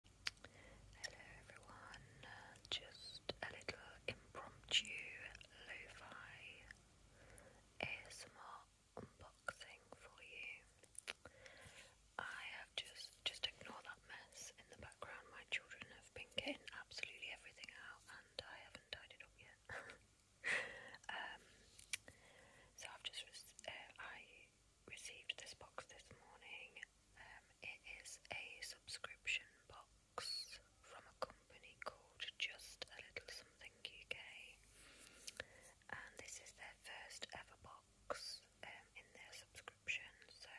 Hello everyone, just a little impromptu lo-fi ASMR unboxing for you. I have just, just ignore that mess in the background, my children have been getting absolutely everything out and I haven't tied up yet. Um, so I've just, uh, I received this box this morning. Um, it is a subscription box from a company called Just a Little Something UK, and this is their first ever box um, in their subscription. So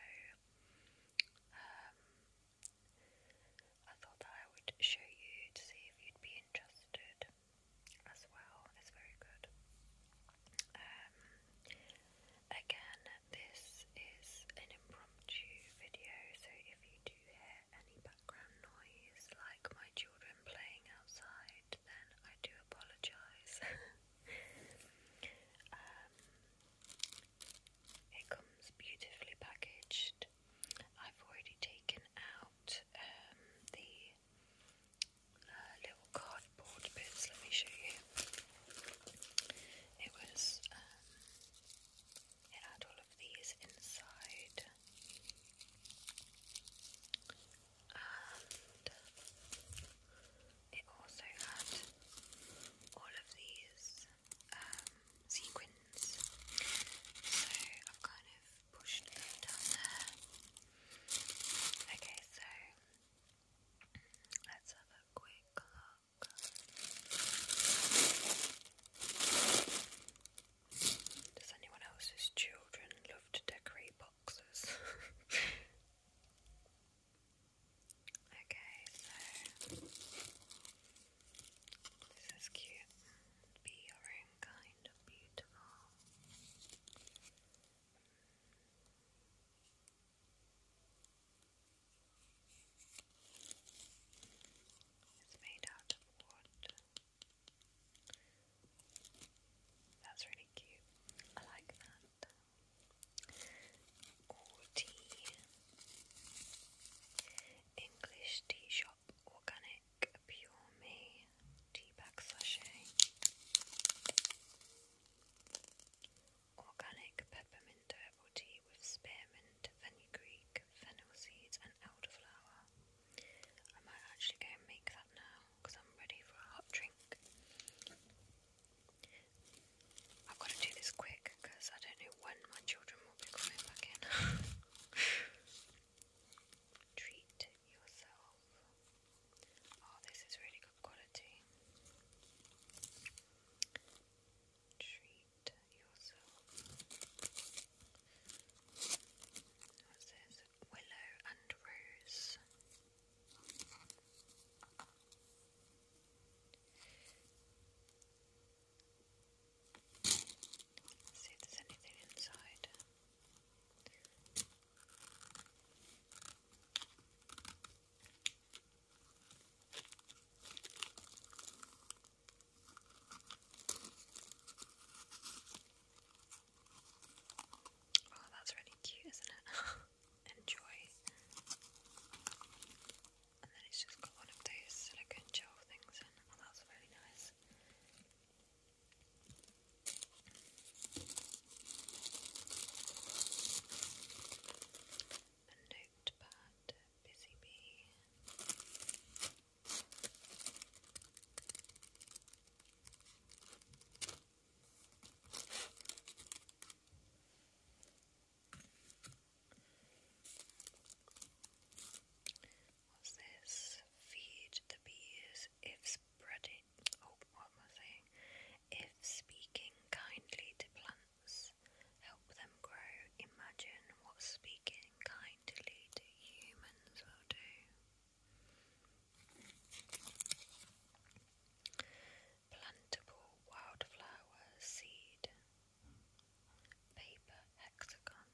um, I thought that I would show you to see if you'd be interested as well. It's very good. Um, again, this is an impromptu video, so if you do hear any background noise, like my children playing outside, then I do apologise. um, it comes beautifully packaged. I've already taken out um, the little cardboard bits. Let me show you. It was, um, it had all of these inside. And it also had all of these um, sequins. So I've kind of pushed them down there. Okay, so let's have a quick look. Does anyone else's children love to decorate boxes? okay, so this is cute. Be and kind of beautiful. It's made out of wood. That's really cute. I like that. tea. English tea shop organic Clinique Pure Me Tea Bag Sachet Organic Peppermint Herbal Tea with Spearmint, Fenugreek, Fennel Seeds and Elderflower I might actually go and make that now because I'm ready for a hot drink I've got to do this quick because I don't know when my children will be coming back Treat yourself. Oh, this is really good quality. Treat yourself. What's this? Willow and Rose let see if there's anything inside. Oh, that's really cute, isn't it? Enjoy and then it's just got one of those silicone gel things in. that's really nice. A notepad, busy bee. What's this? Feed the bees if spreading. Oh, what am I saying? If speaking kindly to plants, help them grow. Imagine what speaking kindly to humans will do plantable wildflower seed, paper hexagon.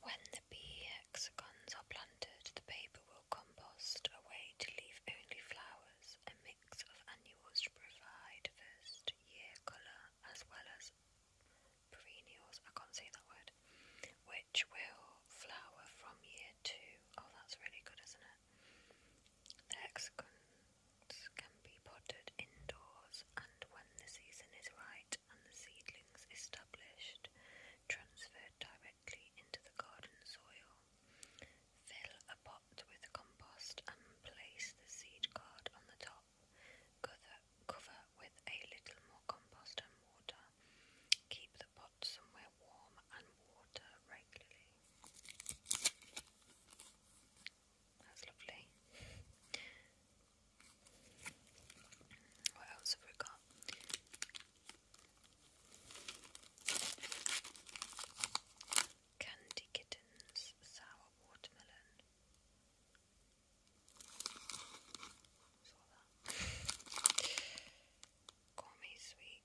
When the bee hexagons are planted, the paper will compost away to leave only flowers, a mix of annuals to provide first year colour as well as perennials, I can't say that word, which will flower from year two. Oh, that's really good, isn't it? The can be potted indoors, and when the season is right and the seedlings established, transferred directly into the garden soil. Fill a pot with compost and place the seed card on the top top. Cover, cover with a little more compost and water. Keep the pot somewhere warm and water regularly. That's lovely. What else have we got? Candy kittens, sour watermelon. Saw that. sweets.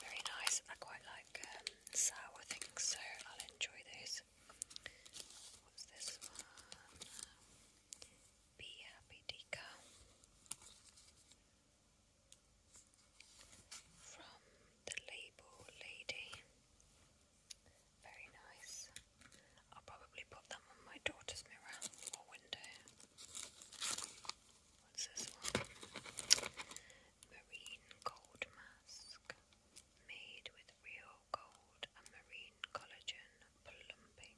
Very nice. I quite like um, sour things, so I'll enjoy those. What's this one? Be happy, Dika. From the label lady. Very nice. I'll probably put them on my daughter's mirror or window. What's this one? Marine gold mask. Made with real gold and marine collagen plumping.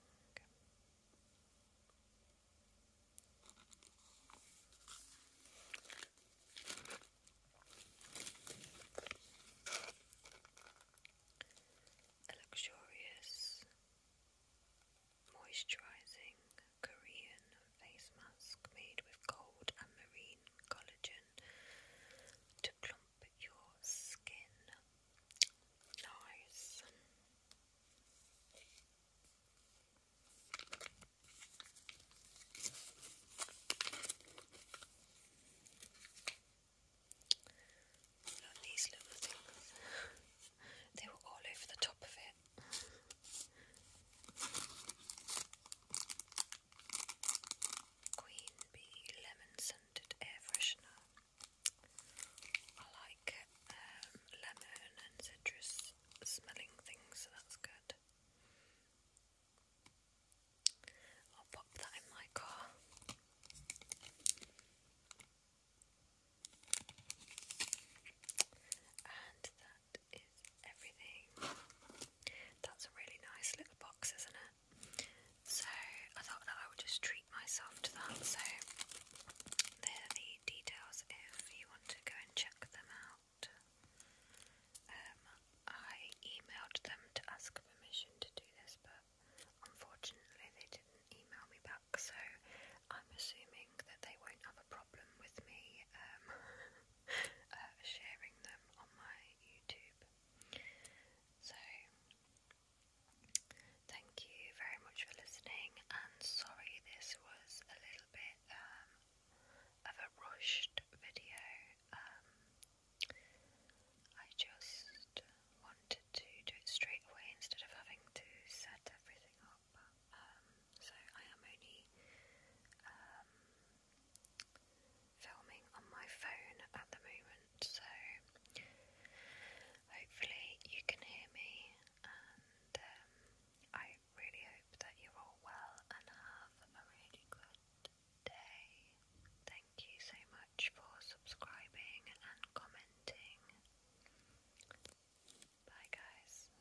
A luxurious, moisturizing Korean face mask made with gold and marine collagen to plump your skin. Nice. Look at these little things. they were all over the top of it. Queen Bee Lemon air freshener. I like um, lemon and citrus smelling things, so that's good. I'll pop that in my car. And that is everything. That's a really nice little box, isn't it? So I thought that I would just treat myself to that. So there are the details if you want to go and check them out. Um, I emailed them to ask permission to do this, but unfortunately they didn't email me back. So I'm assuming that they won't have a problem with me um, uh, sharing them on my YouTube. So, thank you very much for listening, and sorry this was a little bit um, of a rushed video. Um, I just wanted to do it straight away instead of having to set everything up. Um, so, I am only filming on my phone at the moment, so hopefully you can hear me. And um, I really hope that you're all well and have a really good day. Thank you so much for subscribing and commenting. Bye, guys.